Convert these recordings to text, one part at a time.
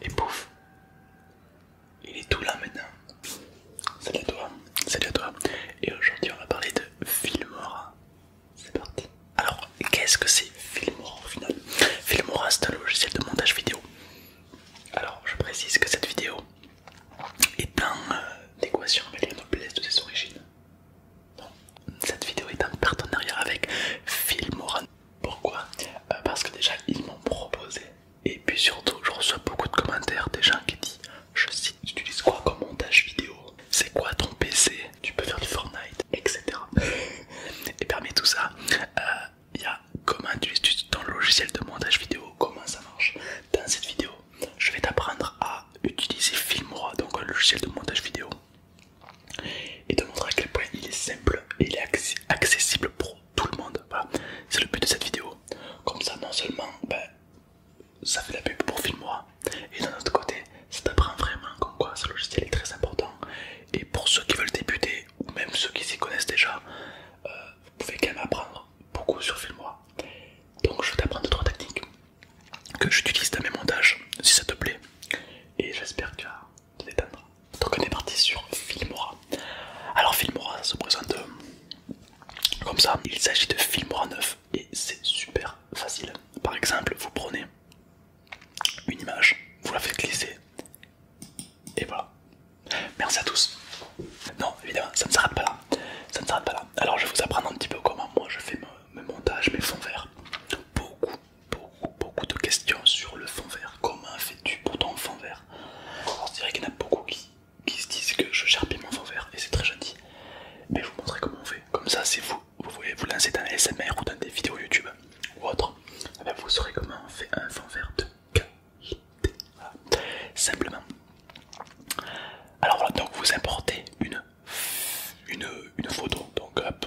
Et pouf Il est tout là maintenant. Salut à toi, salut à toi. Et aujourd'hui on va parler de Filmora. C'est parti. Alors qu'est-ce que c'est Filmora au final Filmora c'est un logiciel de montage vidéo. Alors je précise que cette vidéo est en euh, déquation avec la noblesse de ses origines. Non. Cette vidéo est en partenariat avec Filmora. Pourquoi euh, Parce que déjà ils m'ont proposé et puis surtout je reçois beaucoup de commentaires des gens qui disent je cite tu utilises quoi comme montage vidéo C'est quoi ton PC Tu peux faire du Fortnite etc Et parmi tout ça euh, il y a comment tu utilises ton logiciel de montage vidéo comment ça marche Dans cette vidéo je vais t'apprendre à utiliser Filmora donc un logiciel de montage vidéo et te montrer à quel point il est simple et il est accessible pour tout le monde. Voilà, c'est le but de cette vidéo. Comme ça, non seulement ben, ça fait la pub pour Filmois et d'un autre côté, ça t'apprend vraiment comme quoi ce logiciel est très important. Et pour ceux qui veulent débuter, ou même ceux qui s'y connaissent déjà, euh, vous pouvez quand même apprendre beaucoup sur Filmois Donc, je vais t'apprendre trois techniques que j'utilise dans mes montages, si ça te plaît. Et j'espère que donc on est parti sur Filmora. Alors Filmora ça se présente euh, comme ça. Il s'agit de Filmora 9 et c'est super facile. Par exemple, vous prenez une image, vous la faites glisser et voilà. Merci à tous. Non, évidemment, ça ne s'arrête pas Ça ne s'arrête pas là. Alors je vais vous apprendre un petit peu comment moi je fais mes montages, mes fonds verts. Beaucoup, beaucoup beaucoup de questions sur le fond vert. Comment fais-tu pour ton fond vert Alors c'est vrai qu'il y en a beaucoup qui, qui se disent que je charpie mon fond vert et c'est très gentil. Mais je vous montrerai comment on fait. Comme ça, c'est vous. Vous voulez vous lancer dans les SMR ou dans des vidéos YouTube ou autre. Eh ben, vous saurez comment on fait un fond vert de qualité. Simplement. Alors voilà, donc vous importez une, une, une photo. Donc hop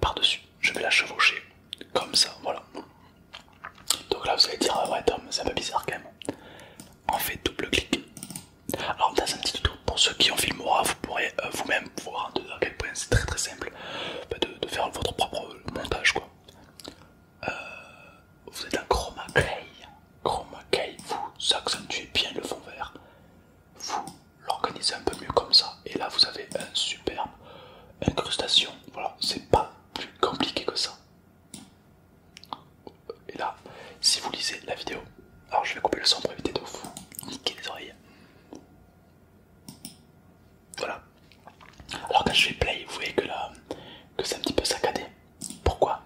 par-dessus. Je vais la chevaucher comme ça, voilà. Donc là, vous allez dire, ah ouais, Tom, c'est un peu bizarre quand même. On fait double clic. Alors, dans un petit tuto, pour ceux qui ont moi, vous pourrez euh, vous-même voir à quel point c'est très très simple bah, de, faire votre propre montage, quoi. Euh, vous êtes un chroma key, Chroma clay, vous accentuez bien le fond vert. Vous l'organisez un peu mieux comme ça. Et là, vous avez un superbe incrustation. Voilà, c'est pas plus compliqué que ça. Et là, si vous lisez la vidéo, alors je vais couper le son pour éviter de vous niquer les oreilles. Voilà. Alors quand je fais play, vous voyez que là, que c'est un petit peu saccadé. Pourquoi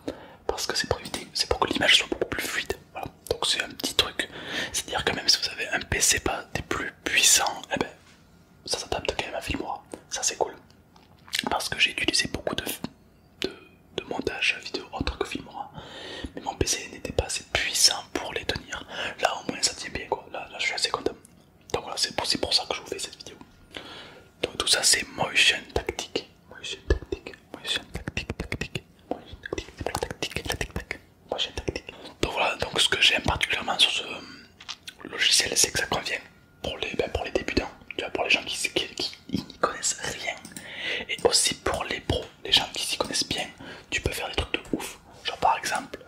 Parce que c'est pour éviter, c'est pour que l'image soit beaucoup plus fluide. Voilà. Donc c'est un petit truc. C'est-à-dire que même si vous avez un PC pas des plus puissants, et eh ben, ça s'adapte quand même à Filmora, ça c'est cool. Parce que j'ai utilisé beaucoup de, de, montage vidéo autre que Filmora, mais mon PC n'était pas assez puissant pour les tenir. Là au moins ça tient bien quoi, là, je suis assez content. Donc voilà, c'est pour, pour ça que je vous fais cette vidéo. Donc tout ça c'est motion tactique. Motion tactique, motion tactique, tactique, motion tactique, tactique, tactique, tactique, tactique prochaine Donc voilà, donc ce que j'aime particulièrement sur ce euh, logiciel, c'est que ça convient pour les, ben, pour les débutants, tu vois, pour les gens qui, n'y connaissent rien, et aussi pour les pros, les gens qui s'y connaissent bien, tu peux faire des trucs de ouf. Genre par exemple,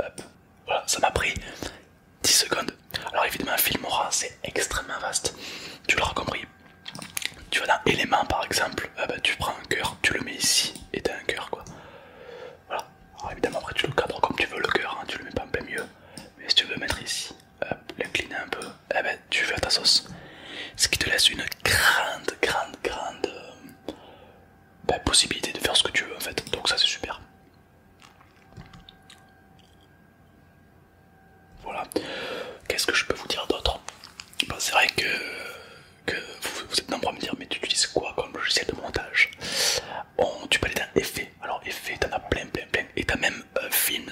voilà, ça m'a pris 10 secondes. Alors évidemment, Filmora, c'est extrêmement vaste, tu l'auras compris. Tu vois dans éléments par exemple, ah bah, tu prends un cœur, tu le mets ici et t'as un cœur quoi. Voilà. évidemment après tu le cadres comme tu veux le cœur, hein, tu le mets pas un mieux. Mais si tu veux mettre ici, l'incliner un peu, et eh ben, tu fais ta sauce. Ce qui te laisse une grande, grande, grande euh, ben, possibilité de faire ce que tu veux en fait. Donc ça c'est super. Voilà. Qu'est-ce que je peux vous dire d'autre ben, C'est vrai que, vous, vous êtes nombreux à me dire mais tu utilises quoi comme logiciel de montage Oh, tu peux aller dans effet. Alors effet, t'en as plein, plein, plein. Et t'as même euh, film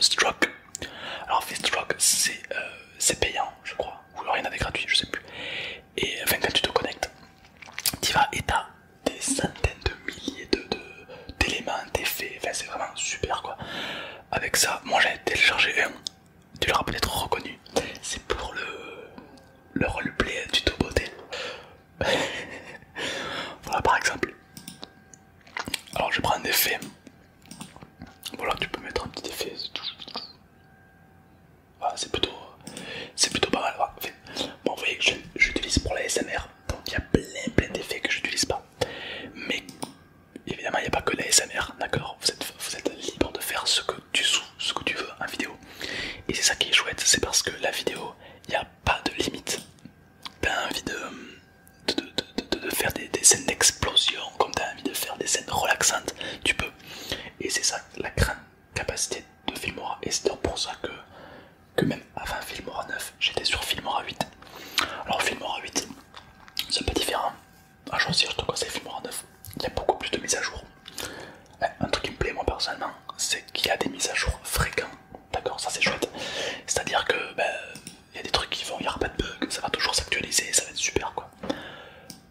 Alors Filmstruck, euh, c'est payant, je crois. Ou alors il gratuit, je sais plus. Et enfin, quand tu te connectes, t'y vas et t'as des centaines de milliers d'éléments, de, d'éléments, d'effets. c'est vraiment super quoi. Avec ça, moi j'ai téléchargé un. Tu l'auras peut-être reconnu. C'est pour le, le roleplay du Toboté. voilà par exemple. Alors je prends un effet. Voilà, tu peux mettre un petit effet. Voilà, c'est plutôt, c'est plutôt pas mal. bon, vous voyez que j'utilise pour la SMR, donc il y a plein plein d'effets que j'utilise pas. Mais évidemment, il n'y a pas que la SMR, d'accord vous êtes, libre de faire ce que tu sous, ce que tu veux en vidéo. Et c'est ça qui est chouette, c'est parce que la vidéo, il a pas de limite. T'as envie de, de, faire des, scènes d'explosion, comme t'as envie de faire des scènes relaxantes, tu peux. Et c'est ça la grande capacité de Filmora. Et c'est pour ça que, que même avant Filmora 9, j'étais sur Filmora 8. Alors Filmora 8, c'est un peu différent. Un jour si je te c'est Filmora 9, il y a beaucoup plus de mises à jour. Eh, un truc qui me plaît moi personnellement, c'est qu'il y a des mises à jour fréquentes. D'accord, ça c'est chouette. C'est-à-dire que ben, il y a des trucs qui vont, il n'y aura pas de bug, ça va toujours s'actualiser, ça va être super quoi.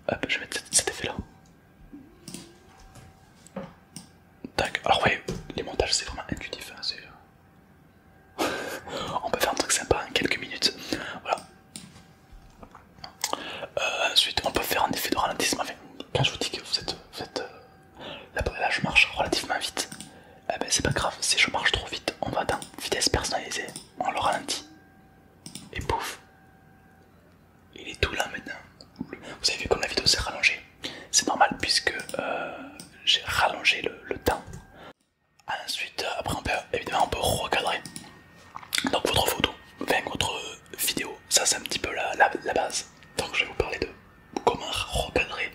Hop, je vais mettre cet effet là. Tac, alors oui, les montages c'est vraiment intuitif. Hein, euh, on peut faire un truc sympa en quelques minutes. Voilà. Euh, ensuite, on peut faire un effet de ralentissement. Enfin, quand je vous dis que vous vous êtes euh, bah, là, je marche relativement vite. Eh ben, c'est pas grave, si je marche trop vite, on va dans vitesse personnalisée, on le ralentit. Et pouf. Il est tout là maintenant. Vous avez vu comme la vidéo s'est rallongée. C'est normal puisque euh, j'ai rallongé le, temps. Ensuite, euh, après on peut, évidemment on peut recadrer. Donc votre photo, avec votre vidéo, ça c'est un petit peu la base. Donc je vais vous parler de comment recadrer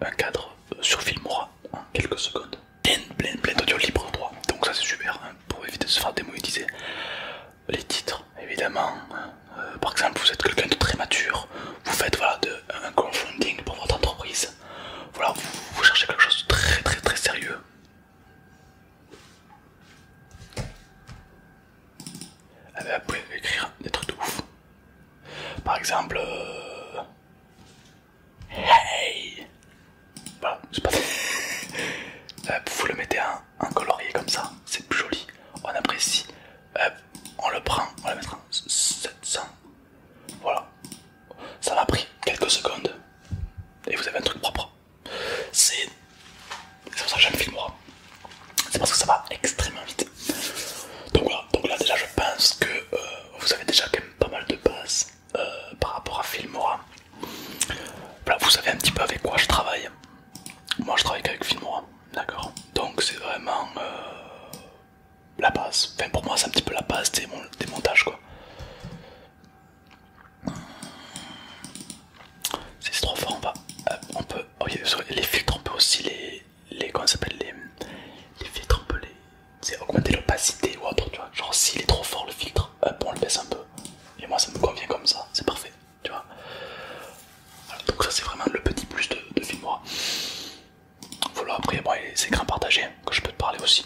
un cadre euh, sur Filmora en quelques secondes. Plein, plein, plein d'audio libre droit. Donc ça c'est super hein, pour éviter de se faire démonétiser. Les titres, évidemment. Hein. Euh, par exemple, vous êtes quelqu'un de très mature, vous faites de, un confonding pour votre entreprise. Voilà, vous, vous cherchez quelque chose de très très très sérieux vous pouvez écrire des trucs de ouf. Par exemple, euh, hey, voilà, sais pas. Euh, vous le mettez en, colorier comme ça, c'est plus joli. On apprécie. Euh, on le prend, on le mettra en 700. Voilà, ça m'a pris quelques secondes et vous avez un truc propre. C'est c'est pour ça que j'aime Filmora C'est parce que ça va extrêmement vite. Donc voilà, donc là déjà je pense que euh, vous avez déjà quand même pas mal de base euh, par rapport à Filmora. Voilà, vous savez un petit peu avec quoi je travaille. Moi je travaille qu'avec Filmora, d'accord Donc c'est vraiment euh, la base. Enfin pour moi c'est un petit peu la base des, montages quoi. C'est trop fort, on, va, on peut Oh, les filtres, on peut aussi les. les comment s'appelle les, les filtres, on peut les. C'est augmenter l'opacité ou autre, tu vois. Genre, s'il est trop fort le filtre, hop, on le baisse un peu. Et moi, ça me convient comme ça, c'est parfait, tu vois. donc, ça, c'est vraiment le petit plus de, de Voilà, après, moi les écrans partagés que je peux te parler aussi.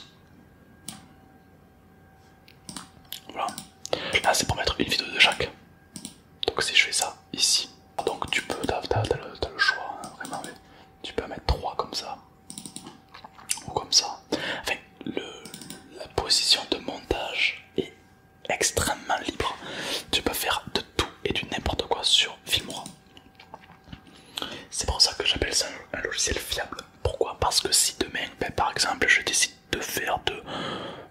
Voilà, là, c'est pour mettre une vidéo de chaque. Donc si je fais ça ici, donc tu peux, le, choix, hein, vraiment, tu peux mettre 3 comme ça, ou comme ça. Enfin, le, la position de montage est extrêmement libre. Tu peux faire de tout et du n'importe quoi sur Filmora. C'est pour ça que j'appelle ça un logiciel fiable. Pourquoi Parce que si demain, ben, par exemple, je décide de faire de,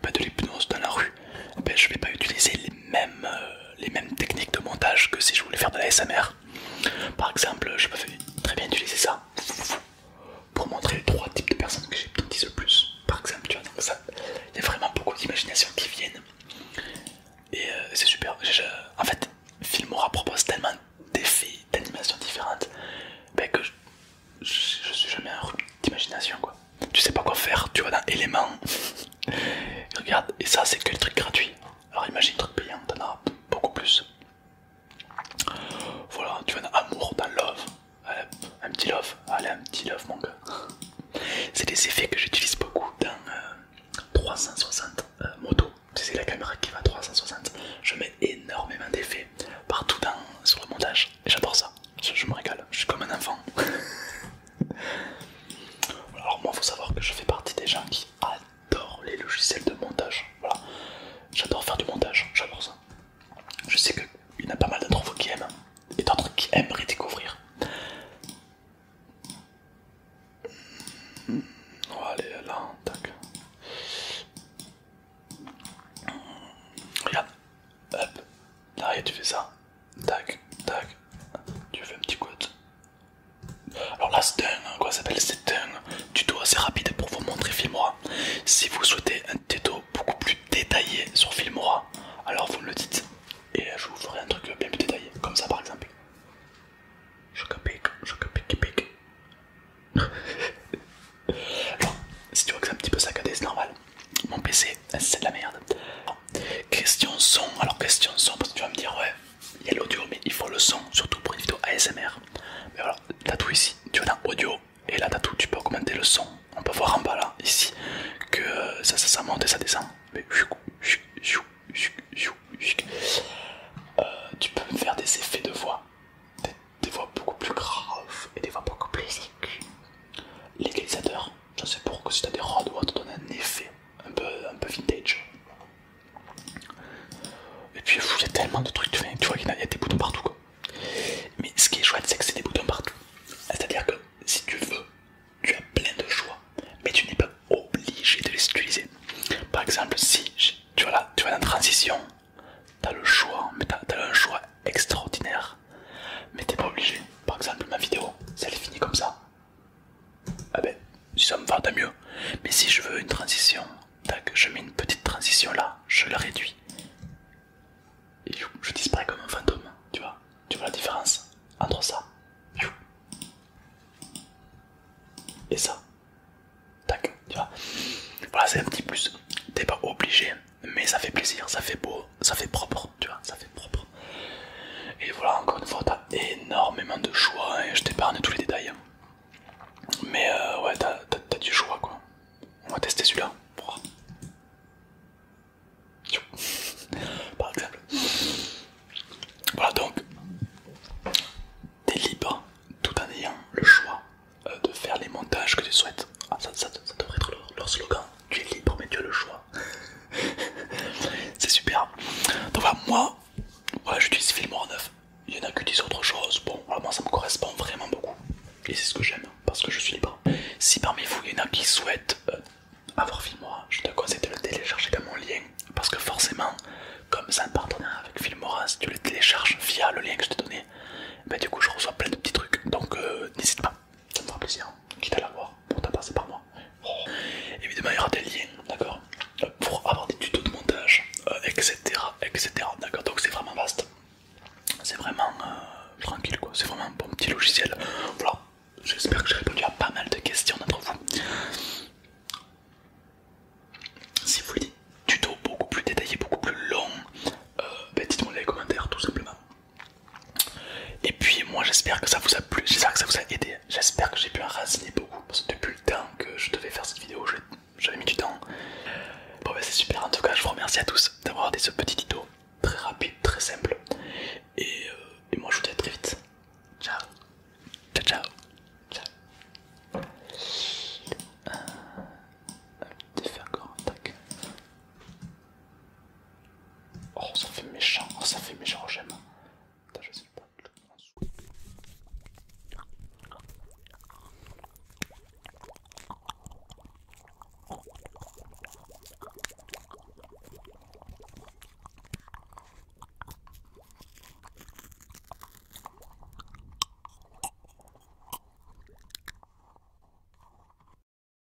bah, de l'hypnose dans la rue, bah, je vais pas utiliser les mêmes, euh, les mêmes techniques de montage que si je voulais faire de la SMR. Par exemple, je peux très bien utiliser ça pour montrer les trois types de personnes que j'hypnotise le plus. Par exemple, tu vois, donc ça, il y a vraiment beaucoup d'imagination qui viennent. Et euh, c'est super. en fait, Filmora propose tellement d'effets, d'animations différentes, ben, que je, je, suis jamais un rhume d'imagination quoi. Tu sais pas quoi faire, tu vas dans éléments. Regarde, et ça c'est que le truc gratuit Alors imagine truc payant, t'en as beaucoup plus. Voilà, tu vas dans amour, dans love. un petit love, allez un petit love mon gars. C'est des effets que j'utilise beaucoup dans 360 euh, euh, motos. moto. C'est la caméra qui va 360. Je mets énormément d'effets partout dans, sur le montage j'adore ça. Je, me régale, je suis comme un enfant. Alors, moi, faut savoir que je fais partie des gens qui adorent les logiciels de montage. Voilà, j'adore faire du montage, j'adore ça. Je sais qu'il y en a pas mal d'entre vous qui aiment et d'autres qui aimeraient découvrir. Hmm. On oh, là, tac. Regarde, hop, là, tu fais ça. Tac, tac. Tu fais un petit code. Alors là, c'est un, quoi s'appelle C'est un tuto assez rapide pour vous montrer Filmora. Si vous souhaitez un tuto beaucoup plus détaillé sur Filmora, alors vous me le dites et je vous ferai un truc bien plus détaillé, comme ça par exemple. Chocapic, chocapic, pic. Alors, si tu vois que c'est un petit peu saccadé, c'est normal mon PC, c'est de la merde. Question son, alors question son, parce que tu vas me dire, ouais, il y a l'audio, mais il faut le son, surtout pour une vidéo ASMR. Mais voilà, t'as tout ici, tu vas dans audio, et là t'as tout, tu peux augmenter le son. On peut voir en bas là, ici, que euh, ça, ça, monte et ça descend. Mais euh, tu peux faire des effets de voix, des, voix beaucoup plus graves et des voix beaucoup plus. L'égalisateur, ça c'est pour que si t'as des rats ou te donne un effet un peu, un peu vintage. Et puis il y a tellement de trucs, tu vois qu'il y, a des boutons partout quoi. Mais ce qui est chouette c'est que c'est des boutons partout. C'est-à-dire que si tu veux, tu as plein de choix, mais tu n'es pas obligé de les utiliser. Par exemple si tu vois là, tu vas dans transition, as le choix, mais t'as as le choix extraordinaire. Mais t'es pas obligé. Par exemple, ma vidéo, si elle est comme ça, ah ben, si ça me va, tant mieux. Mais si je veux une transition, tac, je mets une petite transition là, je la réduis. Et je disparais comme un fantôme, tu vois. Tu vois la différence entre ça et ça. Tac, tu Voilà, c'est un petit plus. T'es pas obligé mais ça fait plaisir, ça fait beau, ça fait propre, tu vois, ça fait propre. Et voilà, encore une fois, t'as énormément de choix hein, et je t'épargne tous les détails. Hein. Mais euh, ouais, t'as du choix quoi. On va tester celui-là. Par exemple. Voilà donc, t'es libre tout en ayant le choix euh, de faire les montages que tu souhaites. Ah, ça, devrait être leur slogan tu es libre, mais tu as le choix. c'est super. Donc voilà, moi, j'utilise Filmora 9. Il y en a qui utilisent autre chose. Bon, alors moi, ça me correspond vraiment beaucoup. Et c'est ce que j'aime, parce que je suis libre. Si parmi vous, il y en a qui souhaitent euh, avoir Filmora, je te conseille de le télécharger dans mon lien. Parce que forcément, comme c'est un partenaire avec Filmora, si tu le télécharges via le lien que je t'ai donné, ben, du coup, je reçois plein de petits trucs. Donc, euh, n'hésite pas ça me fera plaisir, quitte à voir, pour t'en passer par moi. Oh. Évidemment, il y aura des liens, d'accord Pour avoir des tutos de montage, etc. Euh, etc. D'accord Donc, c'est vraiment vaste, c'est vraiment euh, tranquille, quoi. C'est vraiment un bon petit logiciel. Voilà, j'espère que j'ai répondu à pas mal de questions d'entre vous. Si vous voulez des tutos beaucoup plus détaillés, beaucoup plus longs, euh, ben, dites-moi les commentaires tout simplement. Et puis moi j'espère que ça vous a plu, j'espère que ça vous a aidé, j'espère que j'ai pu enraciner beaucoup parce que depuis le temps que je devais faire cette vidéo j'avais mis du temps. Bon bah c'est super en tout cas je vous remercie à tous d'avoir regardé ce petit tuto très rapide, très simple et, euh, moi je vous dis à très vite. Ciao Ciao ciao euh, Oh, ça fait méchant, oh, ça fait méchant, j'aime.